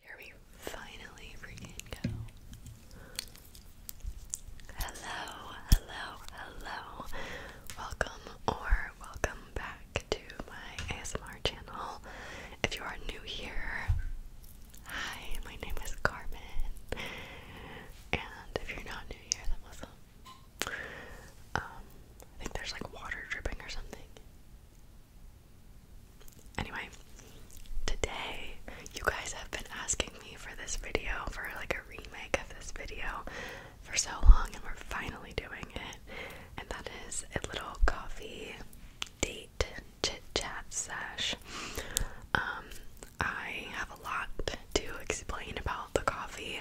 Here we finally freaking go. Hello, hello, hello. Welcome or welcome back to my ASMR channel. If you are new here, hi, my name is Carmen. And if you're not new here, then what's Um, I think there's like water dripping or something. Anyway, today you guys have been asking me for this video, for like a remake of this video for so long, and we're finally doing it. And that is a little coffee date chit chat sesh. Um, I have a lot to explain about the coffee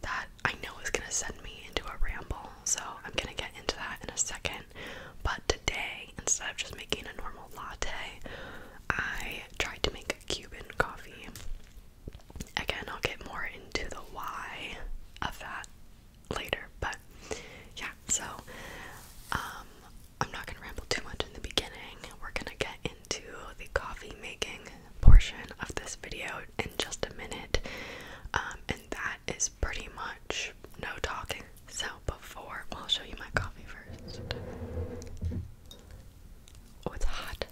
that I know is gonna send me into a ramble, so I'm gonna get into that in a second. But today, instead of just making a normal latte, I tried to make a Cuban coffee. Again, I'll get more into the why of that later, but yeah, so um, I'm not gonna ramble too much in the beginning. We're gonna get into the coffee making portion of this video in just a minute, um, and that is pretty much no talking. So before, I'll show you my coffee first. Oh, it's hot.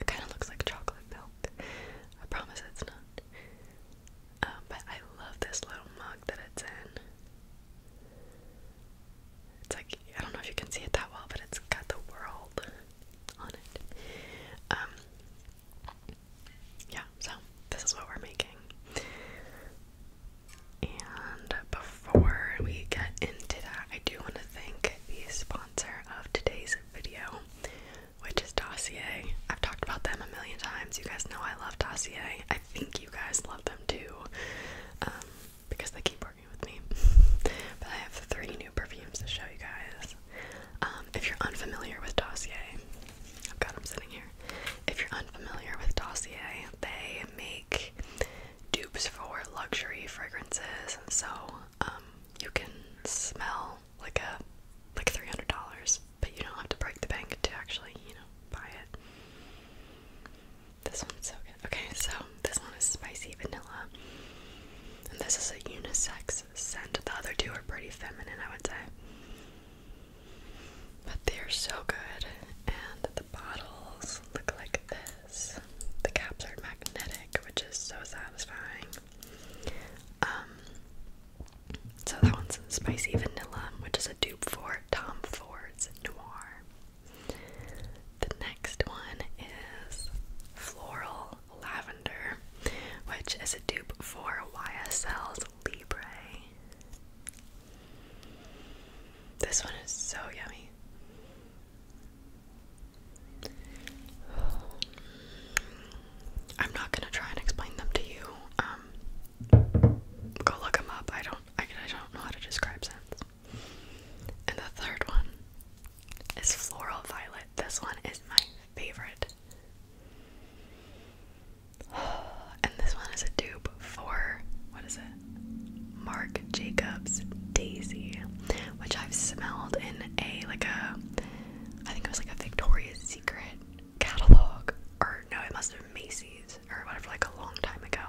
It kind of looks like chocolate milk. I promise it's not. Um, but I love this little mug that it's in. It's like, I don't know if you can see it that well, but it's got the world on it. Um, yeah, so this is what we're making. And before we get into that, I do want to thank the sponsor of today's video, which is Dossier. I've talked about them a million times. You guys know I love Dossier. I think you guys love them too, um, because they keep working with me. But I have three new perfumes to show you guys. Um, if you're unfamiliar with Dossier, I've got them sitting here. If you're unfamiliar with Dossier, they make dupes for luxury fragrances, so um, you can smell like a like three hundred dollars, but you don't have to break the bank to actually you know buy it. This one's so good. Okay, so this one is spicy vanilla, and this is a unisex the other two are pretty feminine, I would say. But they're so good. And the bottles look like this. The caps are magnetic, which is so satisfying. Um, so that one's spicy vanilla, which is a dupe for Tom Ford's Noir. The next one is floral Lavender, which is a dupe for YSL's Libre. This one is so yummy. I'm not gonna try and explain them to you. Um, go look them up. I don't. I don't know how to describe scents. And the third one is floral violet. This one is my favorite. And this one is a dupe for what is it? Marc Jacobs Daisy, which I've smelled in a like a I think it was like a Victoria's Secret catalog or no, it must have been Macy's or whatever like a long time ago.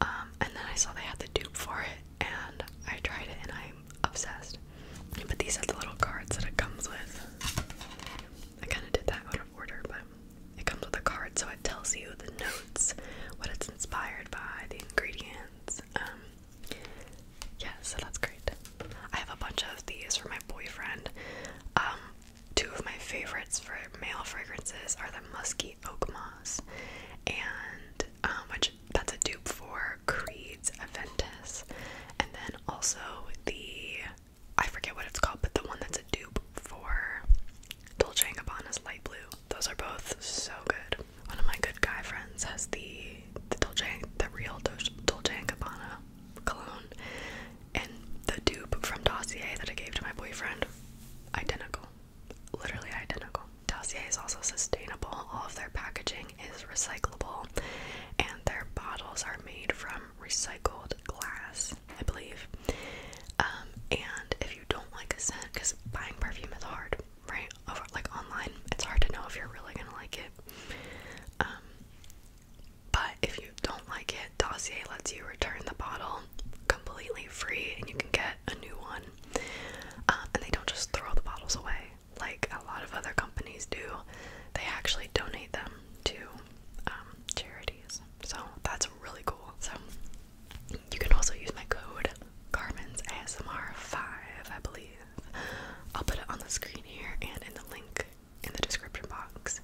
Um, and then I saw they had the dupe for it and I tried it and I obsessed. But these are the little cards that it comes with. I kind of did that out of order, but it comes with a card so it tells you the notes, what it's inspired by, the ingredients. Um, yeah, so that's great. I have a bunch of these for my boyfriend. Um, two of my favorites for male fragrances are the musky oak moss, and um, which that's a dupe for Creed Aventus, and then also the I forget what it's called, but the one that's a dupe for Dolce & Gabbana's light blue. Those are both so good. One of my good guy friends has the the Dolce, the real Dolce & Gabbana cologne, and the dupe from Dossier that I gave to my boyfriend, identical, literally identical. Dossier is also sustainable. All of their packaging is recyclable and their bottles are made from recycled glass, I believe. Um, and if you don't like a scent, because buying perfume is hard, right? Over like online, it's hard to know if you're really gonna like it. Um, but if you don't like it, Dossier lets you return the bottle completely free and you can get a new one. Uh, and they don't just throw the bottles away like a lot of other companies do, they actually donate them to um, charities. So that's really cool. So you can also use my code Carmen's ASMR five, I believe. I'll put it on the screen here and in the link in the description box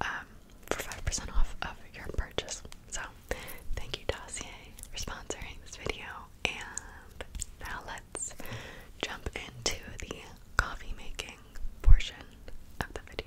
um, for five percent off of your purchase. So thank you, Dossier, for sponsoring this video. And now let's jump into the coffee making portion of the video.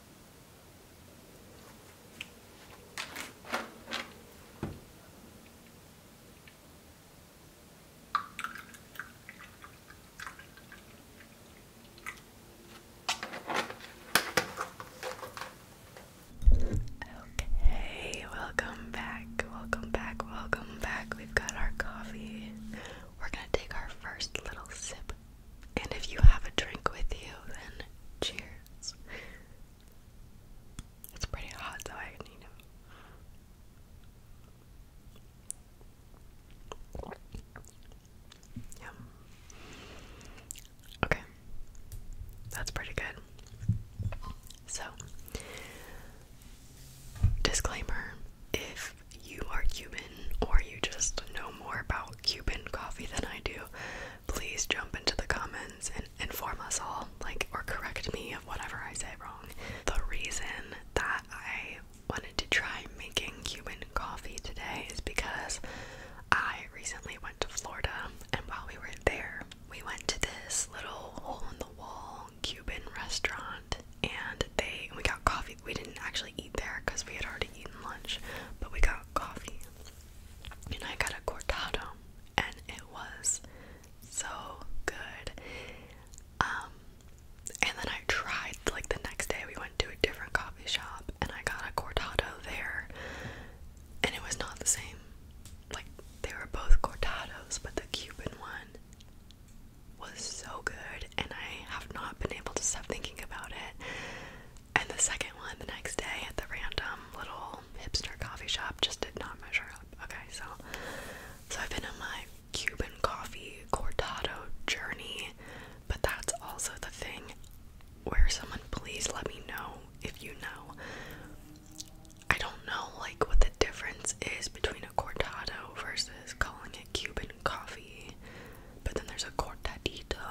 Okay, welcome back, welcome back, welcome back. We've got our coffee. We're gonna take our first little sip and if you have a drink with you, then cheers. It's pretty hot, so I need Okay. That's pretty good. So, disclaimer if you are Cuban or you just know more about Cuban coffee than I do, please jump into the comments and inform us all, like, or correct me of whatever I say wrong. The reason that I wanted to try making Cuban coffee today is because I recently went to Florida, and while we were there, we went to this little hole in the wall Cuban restaurant, and they we got coffee. We didn't actually eat there because we had already eaten lunch, but we got coffee and I got a cortado and it was so good. Um, and then I tried like the next day we went to a different coffee shop and I got a cortado there and it was not the same. Like they were both cortados, but the Cuban one was so good and I have not been able to stop thinking about it. And the second one the next day at the random little hipster coffee shop just did not measure up. Okay, so so I've been on my Cuban coffee cortado journey, but that's also the thing where someone please let me know if you know. I don't know like what the difference is between a cortado versus calling it Cuban coffee. But then there's a cortadito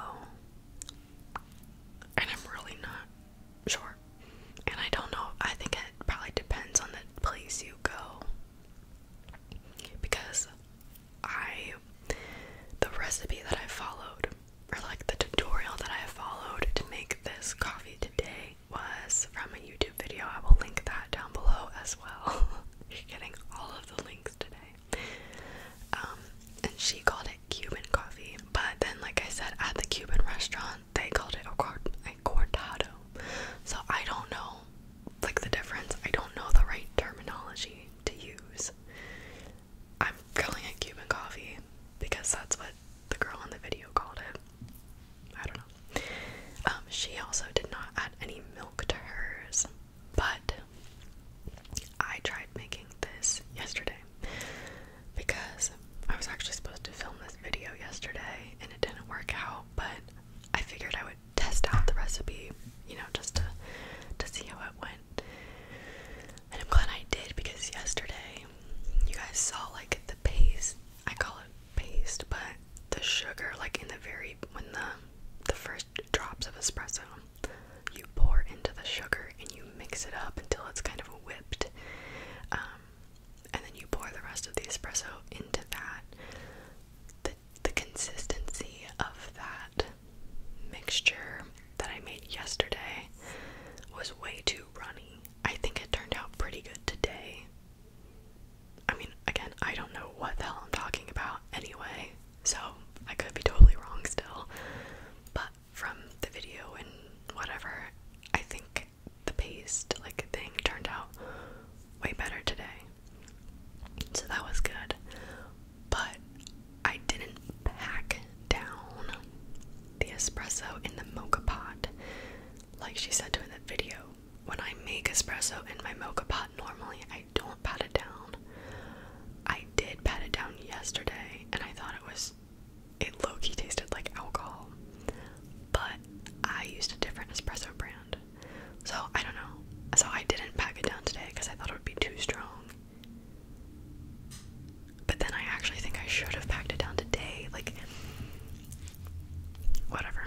and I'm really not sure. And I don't know, I think it probably depends on the place you go. Because I, the recipe that I followed, or like the tutorial that I followed to make this coffee today, was from a YouTube video. I will link that down below as well. You're getting all of the links today. Um, and she called it Cuban coffee, but then, like I said, at the Cuban restaurant, they called it a, cortado. So I don't know, like the difference. I don't know the right terminology to use. I'm calling it Cuban coffee because that's what the girl in the video called it. I don't know. Um, she also did not add any milk to hers. But I tried making this yesterday because I was actually supposed to film this video yesterday and it didn't work out, but I figured I would test out the recipe, you know, just to to see how it went. And I'm glad I did because yesterday you guys saw like the paste. I call it paste, but the sugar like in the very when the the first drops of espresso you pour into the sugar and you mix it up until it's kind of whipped. Um, and then you pour the rest of the espresso into that. The, the consistency of that mixture that I made yesterday was way too runny. I think it turned out pretty good today. I mean, again, I don't know what the hell I'm talking about anyway. So I could be totally wrong still. But from the video and whatever, I think the paste like thing turned out way better today. So that was good. But I didn't pack down the espresso in the mocha pot. Like she said to in the video, when I make espresso in my mocha pot normally I. I don't pat it down. I did pat it down yesterday and I thought it was it low key tasted like alcohol. But I used a different espresso brand. So I don't know. So I didn't pack it down today because I thought it would be too strong. But then I actually think I should have packed it down today. Like, whatever.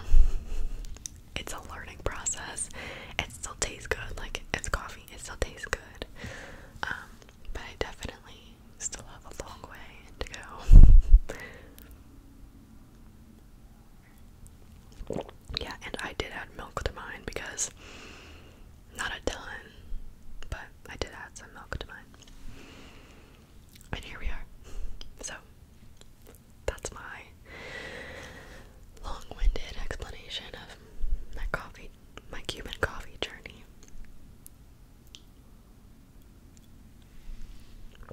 It's a learning process. It still tastes good. Like, it's coffee. It still tastes good. Um, but I definitely still have a long way to go. yeah, and I did add milk to mine because not a ton, but I did add some milk to mine. And here we are. So that's my long winded explanation of my coffee my Cuban coffee journey.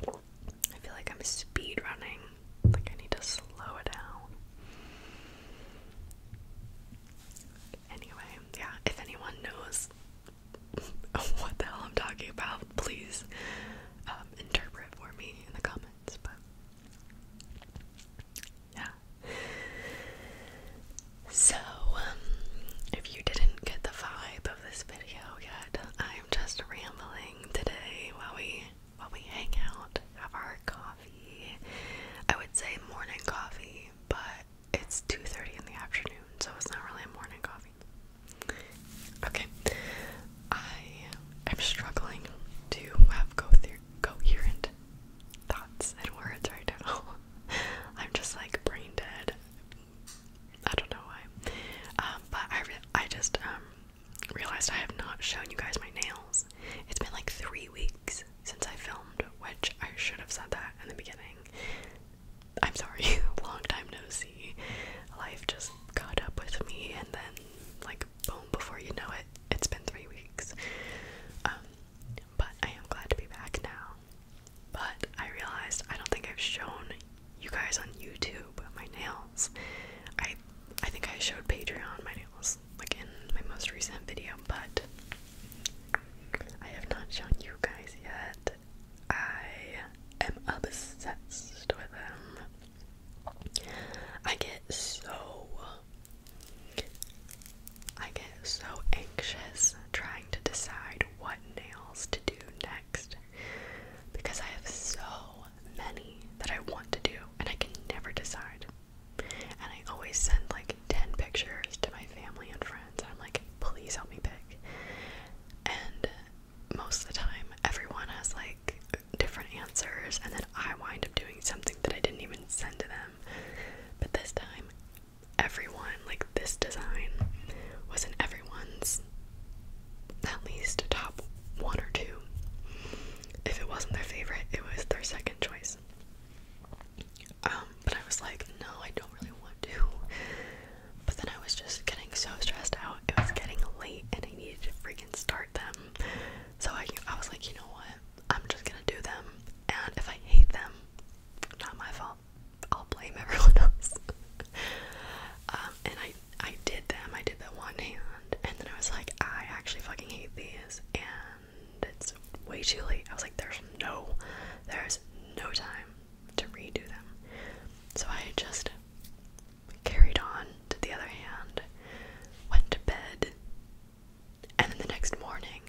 I feel like I'm speed running. Like I need to slow it down. Anyway, yeah, if anyone knows what the hell I'm talking about, please um, interpret for me in the comments. But yeah. So, um, if you didn't get the vibe of this video yet, I'm just rambling today while we while we hang out, have our coffee. I would say morning coffee, but it's 2:30 in the afternoon, so it's not really a morning coffee. Okay. I am struggling to have go through coherent thoughts and words right now. I'm just like brain dead. I don't know why. Um, but I, I just um, realized I have not shown you guys my nails. It's been like three weeks since I filmed, which I should have said that in the beginning. I'm sorry, long time no see. Life just caught up with me, and then, like, boom, before you know it, it's been three weeks. Um, but I am glad to be back now. But I realized I don't think I've shown you guys on YouTube my nails. I I think I showed Patreon my nails like in my most recent video, but I have not shown you guys yet. I am obsessed with them. I get so I get so anxious trying to decide what nails to do next because I have so many that I want to do and I can never decide. And I always send like 10 pictures to my family and friends, and I'm like, please help me pick. And most of the time, everyone has like different answers, and then I wind up doing something that I didn't even send to them. But this time, everyone, like this design, was in everyone's at least top one or two. If it wasn't their favorite, it was their second choice. Um, but I was like, no, I don't really want to. But then I was just getting so stressed out. It was getting late and I needed to freaking start them. So I, I was like, you know what? I'm just gonna do them, and if I hate them, not my fault. I'll blame everyone else. Um, and I I did them. I did the one hand, and then I was like, I actually fucking hate these, and it's way too late. I was like, there's no, there's no time to redo them. So I just carried on to the other hand, went to bed, and then the next morning,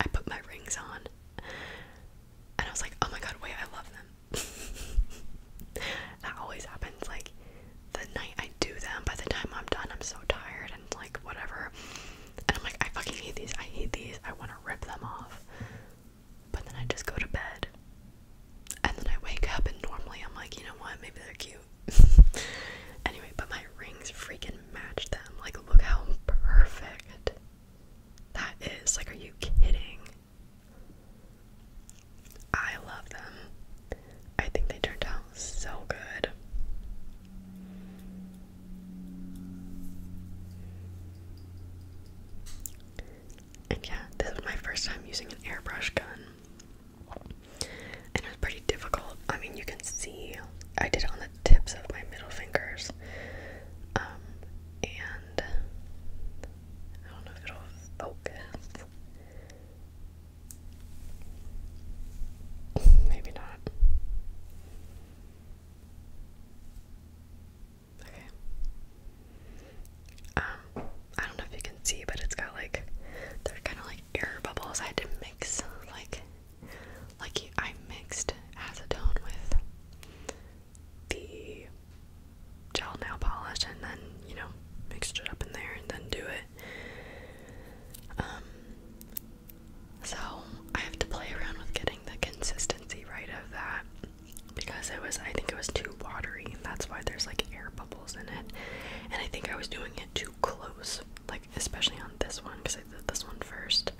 I put my rings on and I was like, oh my god, wait, I love them. that always happens. Like, the night I do them, by the time I'm done, I'm so tired and like whatever. And I'm like, I fucking hate these. I hate these. I want to rip them off. But then I just go to bed. And then I wake up, and normally I'm like, you know what? Maybe they're cute. anyway, but my rings freaking match them. Like, look how perfect that is. Like, are you kidding? I love them. I think they turned out so good. And yeah, this is my first time using an airbrush gun and it was pretty difficult. I mean, you can see I did it on the tips of my middle fingers, um, and I don't know if it'll focus. Maybe not. Okay. Um, I don't know if you can see, but it's got like they're kind of like air bubbles. I had to mix like like I mixed acetone with the gel nail polish and then, you know, mixed it up in there and then do it. Um so I have to play around with getting the consistency right of that because it was I think it was too watery and that's why there's like air bubbles in it. And I think I was doing it too close. Like especially on this one because I did this one first.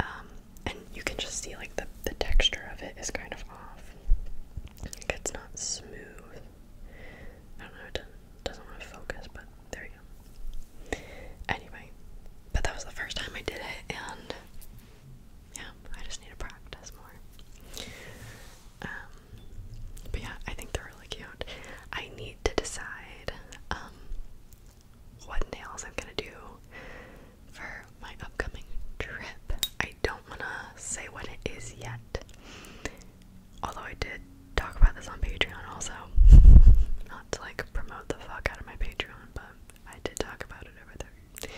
Um, and you can just see like the the texture of it is kind of off. it's not smooth. I don't know. It doesn't, want to focus, but there you go. Anyway, but that was the first time I did it, and yeah, I just need to practice more. Um, but yeah, I think they really cute. I need to decide um, what nails I'm gonna do for my upcoming trip. I don't wanna say what it is yet. Although I did talk about this on Patreon also. Not to like promote the fuck out of my Patreon, but I did talk about it over there.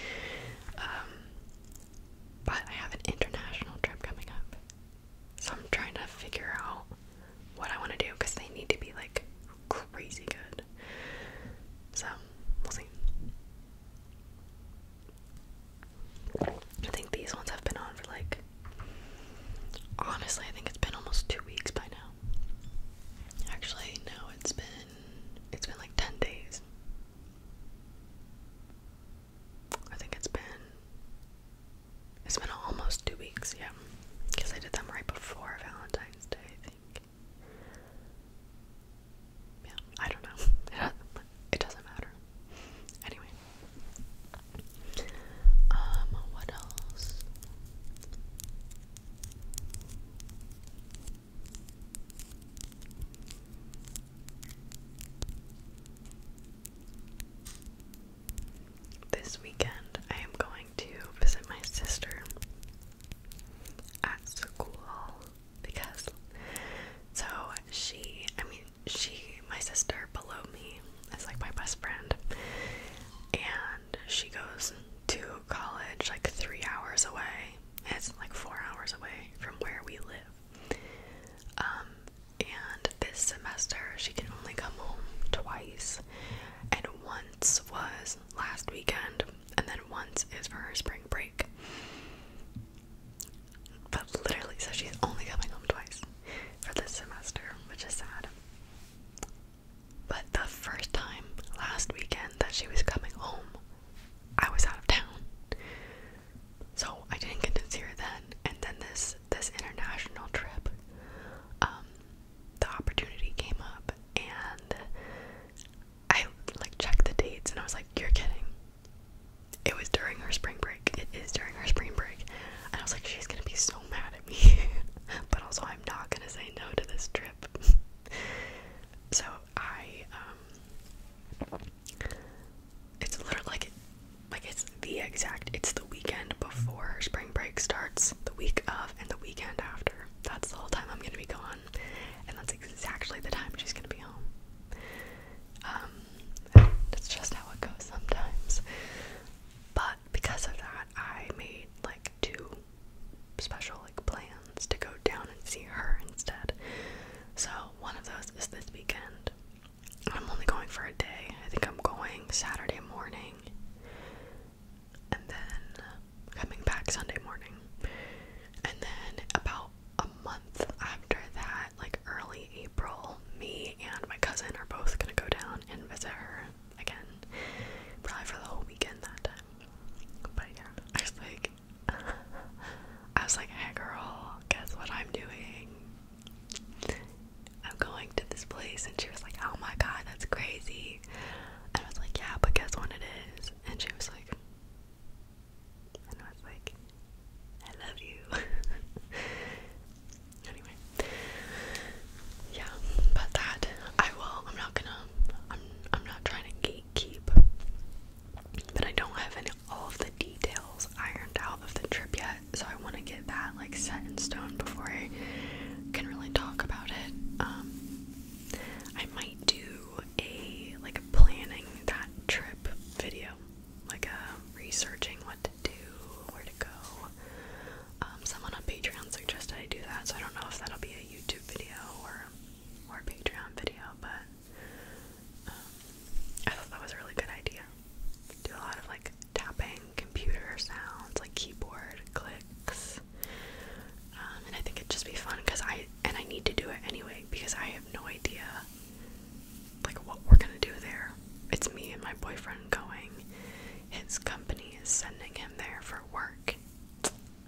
Um, but I have an international trip coming up so I'm trying to figure out what I want to do because they need to be like crazy good. So we'll see. I think these ones have been on for like honestly, I think it's been almost two weeks by now. Actually, no, it's been it's been like ten days. I think it's been it's been almost two weeks, yeah. Because I did them right before Valentine's Day, I think. Yeah, I don't know. It doesn't matter. Anyway. Um, what else? This weekend, I am going to visit my sister at school because so she, I mean, she, my sister below me, is like my best friend, and she goes to college like three hours away. It's like four hours away from where we live. Um, and this semester she can only come home twice and once was last weekend and then once is for her spring break but literally so she's only coming home twice for this semester which is sad but the first time last weekend that she was coming home I was out of town so I didn't get to see her then and then this this international trip, um, the opportunity came up, and I like checked the dates, and I was like, "You're kidding." It was during her spring break. It is during her spring break. And I was like, she's gonna be so mad at me. but also, I'm not gonna say no to this trip. so I, um, it's literally like like it's the exact it's the weekend before spring break starts, the week of and the weekend after. That's the whole time I'm gonna be gone. And that's exactly the time she's gonna be home. Um that's just how it goes sometimes. But because of that I made like two special like plans to go down and see her instead. So one of those is this weekend I'm only going for a day. I think I'm going Saturday morning and then coming back Sunday morning. And then about a month after that, like early April, me and my cousin are both gonna go down and visit her again. Probably for the whole weekend that time. But yeah, I was like, I was like, hey girl, guess what I'm doing? I'm going to this place. And she was like, Oh my god, that's crazy. And I was like, Yeah, but guess what it is? And she was like, I was like, I love you. anyway, yeah, but that I will. I'm not gonna. I'm. I'm not trying to gatekeep, but I don't have any all of the details ironed out of the trip yet so I want to get that like set in stone before I can really talk about it. Um, I might do a like a planning that trip video, like a researching what to do, where to go. Um, someone on Patreon suggested I do that, so I don't know if that'll be a YouTube video or or a Patreon video, but um, I thought that was a really good idea. Do a lot of like tapping, computer sounds, like keyboard clicks. Um, and I think it'd just be fun because I and I need to do it anyway because I have no idea like what we're gonna do there. It's me and my boyfriend going. His company is sending him there for work,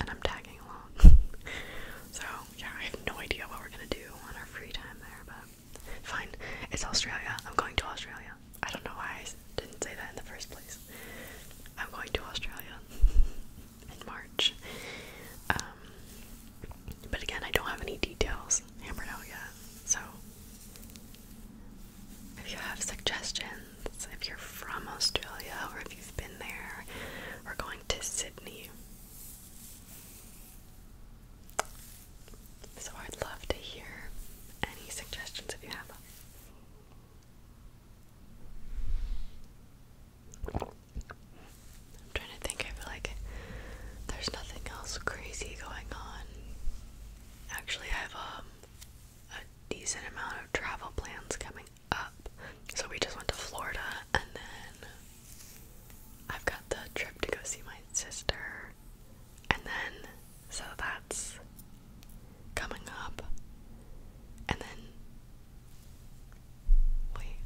and I'm tagging along. so yeah, I have no idea what we're gonna do on our free time there, but Fine. It's Australia. I'm going to Australia. I don't know why I didn't say that in the first place. I'm going to Australia in March. Um, but again, I don't have any details hammered out yet. So, if you have suggestions, if you're from Australia or if you've been there, we're going to Sydney. So I'd love to hear any suggestions if you have them. I'm trying to think, I feel like there's nothing else crazy going on. Actually, I have um, a decent amount of travel plans coming up. So we just went to Florida, and then I've got the trip to go see my sister and then, so that's coming up. And then, wait.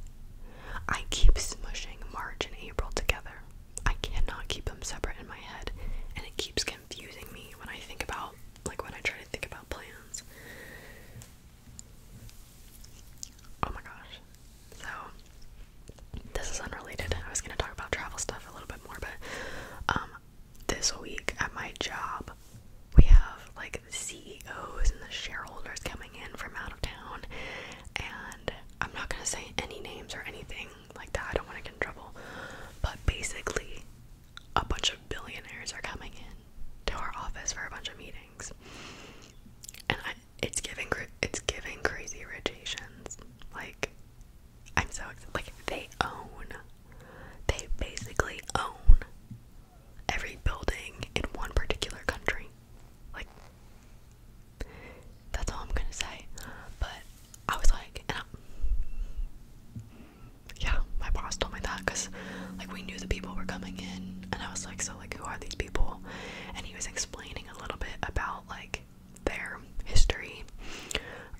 I keep smushing March and April together. I cannot keep them separate in my head. And it keeps confusing me when I think about, like, when I try to think about plans. Oh my gosh. So, this is unrelated. I was gonna talk about travel stuff a little bit more, but um, this week at my job, we have like CEOs and the shareholders coming in from out of town, and I'm not gonna say any names or anything like that. I don't want to get in trouble, but basically, a bunch of billionaires are coming in to our office for a bunch of meetings, and it's giving it's giving crazy rotations. Like I'm so Like, they own, they basically own every building in one particular country. Like, that's all I'm gonna say. But I was like, and I, yeah, my boss told me that because, like, we knew the people were coming in, and I was like, so, like, who are these people? And he was explaining a little bit about, like, their history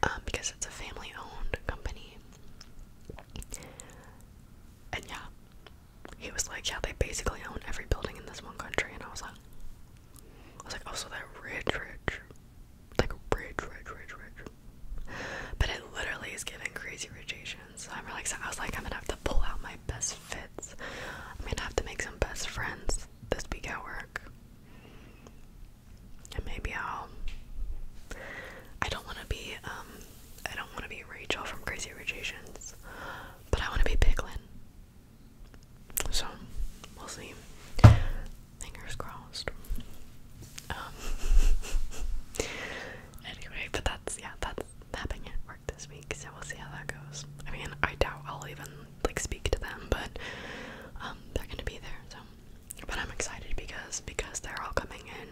um, because it's a family owned company. And yeah, he was like, Yeah, they basically own every building in this one country. And I was like, I was like, Oh, so they're rich, rich. Like, rich, rich, rich, rich. But it literally is giving crazy rich So I'm really excited. I was like, I'm gonna have to pull out my best fits. I'm gonna have to make some best friends this week at work. And maybe I'll I i do wanna be um I don't wanna be Rachel from Crazy Rich Asians, but I wanna be Piglin. So we'll see. Fingers crossed. Um anyway, but that's yeah, that's mapping it worked this week, so we'll see how that goes. I mean, I doubt I'll even like speak to them, but um, they're gonna be there. So, but I'm excited because because they're all coming in.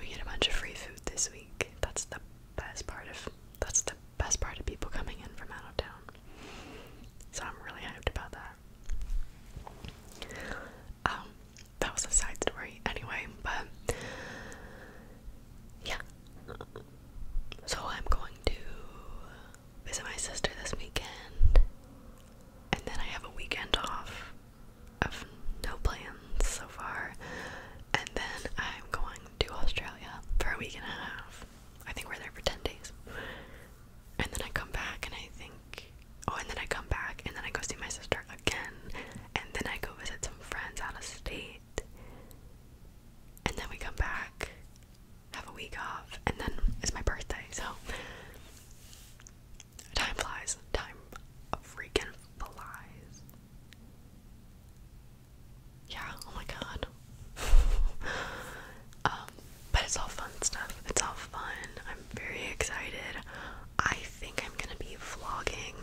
We get a bunch of free food this week. That's the best part of that's the best part of people coming in from out of town. So I'm really hyped about that. Um, that was a side story anyway, but yeah. So I'm going to visit my sister this weekend, and then I have a weekend off of no plans so far, and then I'm going to Australia for a week and a half. I think we're there for 10 days. And then I come back and I think, oh, and then I come back and then I go see my sister again, and then I go visit some friends out of state. And then we come back have a week off, and then it's my birthday, so time flies. Time freaking flies. Yeah, oh my god. um, but it's all fun stuff. It's all fun. I'm very excited. I think I'm gonna be vlogging.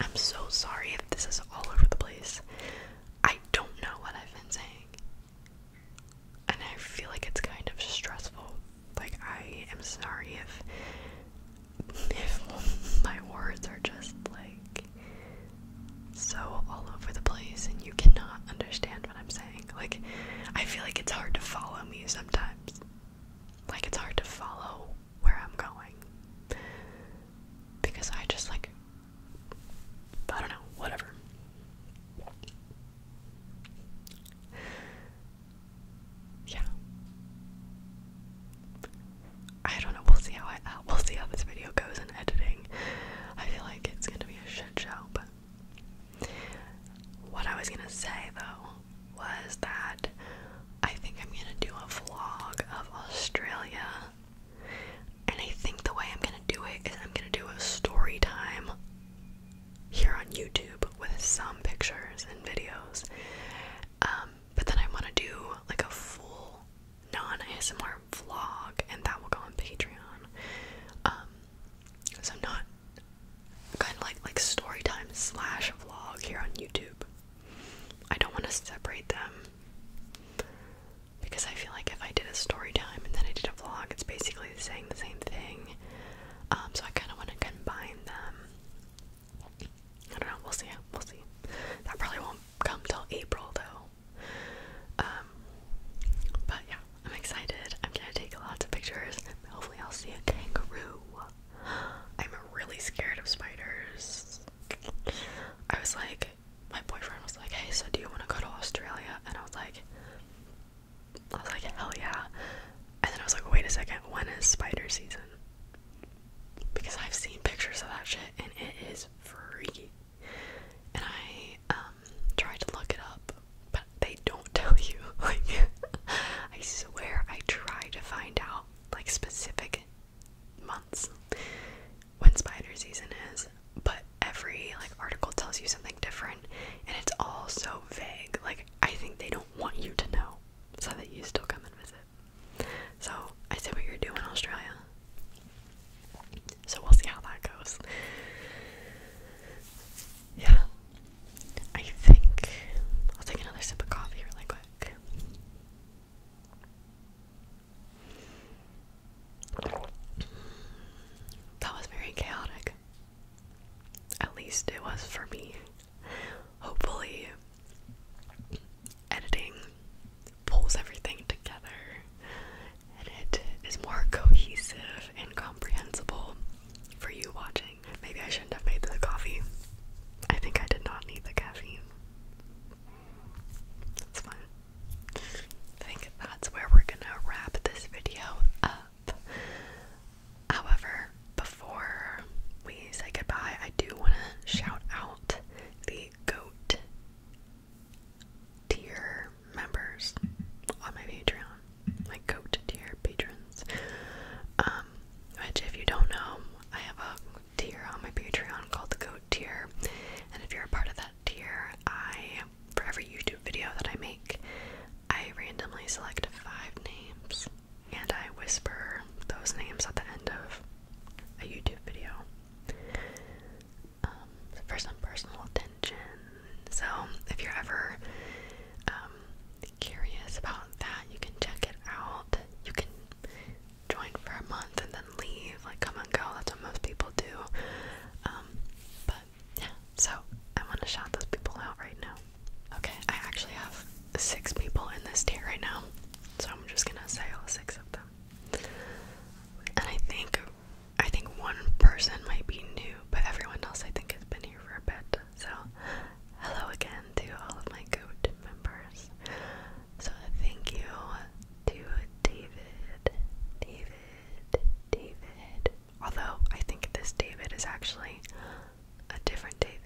I'm so sorry if this is all over the place. I don't know what I've been saying and I feel like it's kind of stressful. Like I am sorry if if my words are just like so all over the place and you cannot understand what I'm saying. Like I feel like it's hard to follow me sometimes. Like it's hard to follow where I'm going. Because I just like I don't know, whatever. Yeah. I don't know. We'll see how I uh, we'll see how this video goes in editing. I feel like it's gonna be a shit show, what I was gonna say though was that I think I'm gonna do a vlog of Australia and I think the way I'm gonna do it is I'm gonna do a story time here on YouTube with some pictures and videos. Um, but then I wanna do like a full non ASMR vlog, and that will go on Patreon. Um, so not kind of like like story time slash vlog here on YouTube. I don't want to separate them because I feel like if I did a story time and then I did a vlog, it's basically saying the same thing. Um, so I kind of want to combine them. I don't know. We'll see. We'll see. That probably won't come till April though. Um, but yeah, I'm excited. I'm gonna take lots of pictures. Hopefully, I'll see a kangaroo. I'm really scared of spiders. I was like my boyfriend was like, "Hey, so do you want to go to Australia?" And I was like, I was like, "Hell yeah!" And then I was like, "Wait a second, when is spider season?" Because I've seen pictures of that shit, and it is freaky. And I um, tried to look it up, but they don't tell you. I swear, I tried to find out like specific months, when spider season is, but every like article tells you something different and it's all so vague. Like I think they don't want you to know so that you still come and visit. So I see what you're doing Australia. So we'll see how that goes. Yeah. I think I'll take another sip of coffee really quick. That was very chaotic. At least it was for me. Hopefully, editing pulls everything together and it is more cohesive and comprehensible for you watching. Maybe I shouldn't have made the coffee. I think I did not need the caffeine. It's fine. I think that's where we're gonna wrap this video up. However, before we say goodbye, I do want to shout out the GOAT tier members on my Patreon, my GOAT tier patrons. Um, which, if you don't know, I have a tier on my Patreon called the GOAT tier, and if you're a part of that tier, I for every YouTube video that I make, I randomly select five names and I whisper those names at the end of a YouTube video um, for some personal attention. So, if you're ever um, curious about that, you can check it out. You can join for a month and leave, like come and go. That's what most people do. Um, but yeah, so I want to shout those people out right now. Okay, I actually have six people in this tier right now, so I'm just gonna say all six of them. And I think, I think one person might be new, but everyone else I think has been here for a bit. So, hello again to all of my good members. So, thank you to David, David. Although I think this David is actually a different David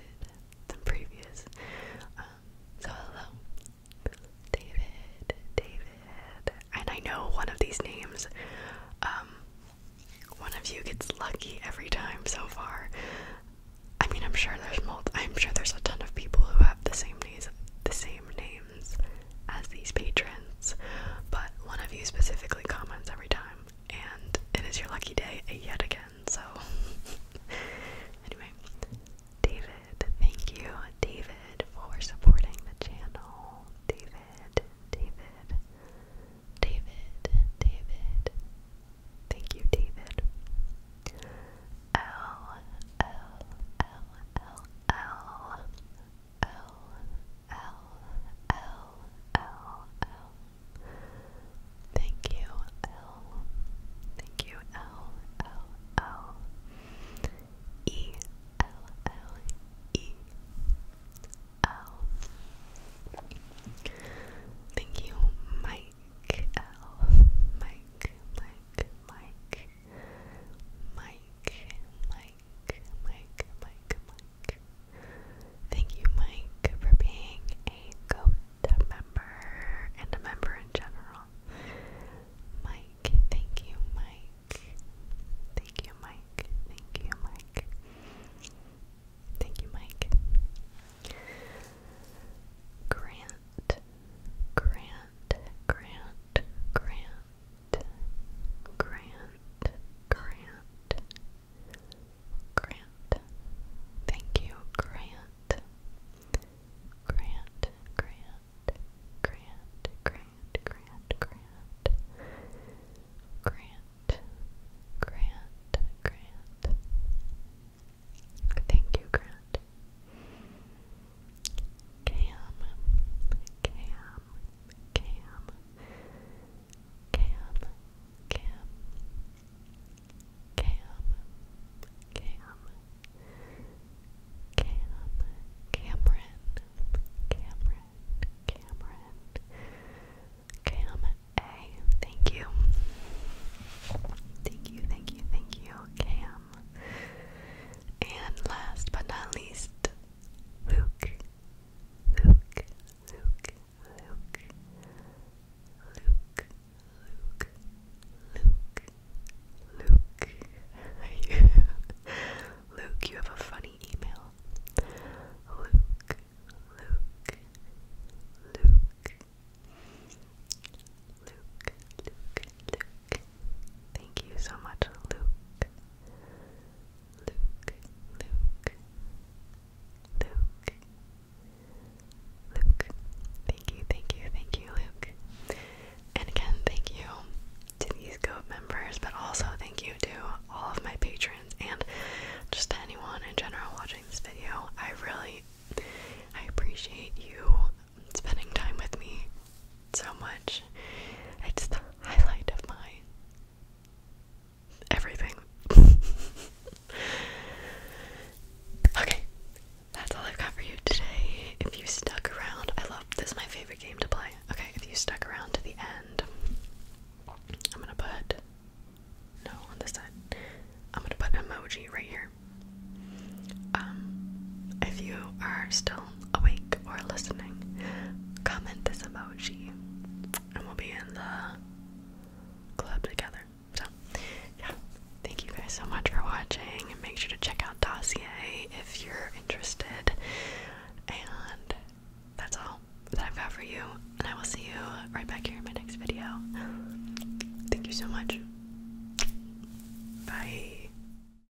than previous. Um, so hello, David, David. And I know one of these names. Um, one of you gets lucky every time so far. I mean, I'm sure there's multi I'm sure there's a ton of people who have the same names, the same name as these patrons, but one of you specifically comments every time, and it is your lucky day yet again. So, anyway, David, thank you, David, for supporting the channel. David, David, David, David. Thank you, David. L L L L L L L L L L. Thank you, L. Thank you, L L L. E L L E L. Thank you, Mike L. Mike, Mike, Mike, Mike, Mike. Mike, Mike, Mike, Thank you, Mike, for being a GOAT member and a member in general. Mike, thank you, Mike. Thank you, Mike. Thank you, Mike. Thank you, Mike. Grant, Grant, Grant, Grant, Grant, Grant, Grant. Thank you, Grant. Grant, Grant, Grant, Grant, Grant, Grant. Grant, Grant, Grant. Thank you, Grant. Cam, Cam, Cam, Cam, Cam, Cam, Cam, Cameron, Cameron, Cameron, Cam A. Thank you. Thank you, thank you, thank you, Cam. And last but not least, Luke. Luke. Luke. Luke. Luke. Luke. Luke. Luke. Luke, you have a funny email. Luke. Luke. Luke. Luke, Luke, Luke, Thank you so much, Luke. Luke, Luke, Luke, Luke. Thank you, thank you, thank you, Luke. And again, thank you to these GOAT members, but also thank you to all of my patrons and just to anyone in general watching this video. I really, I appreciate you spending time with me so much. It's the highlight of my everything. okay, that's all I've got for you today. If you stuck around, I love this is my favorite game to play. Okay, if you stuck around to the end, I'm gonna put no on this side. I'm gonna put emoji right here. Um, if you are still awake or listening, comment this emoji and we'll be in the club together. So, yeah, thank you guys so much for watching. And make sure to check out Dossier if you're interested. And that's all that I've got for you. And I will see you right back here in my next video. Thank you so much. Bye.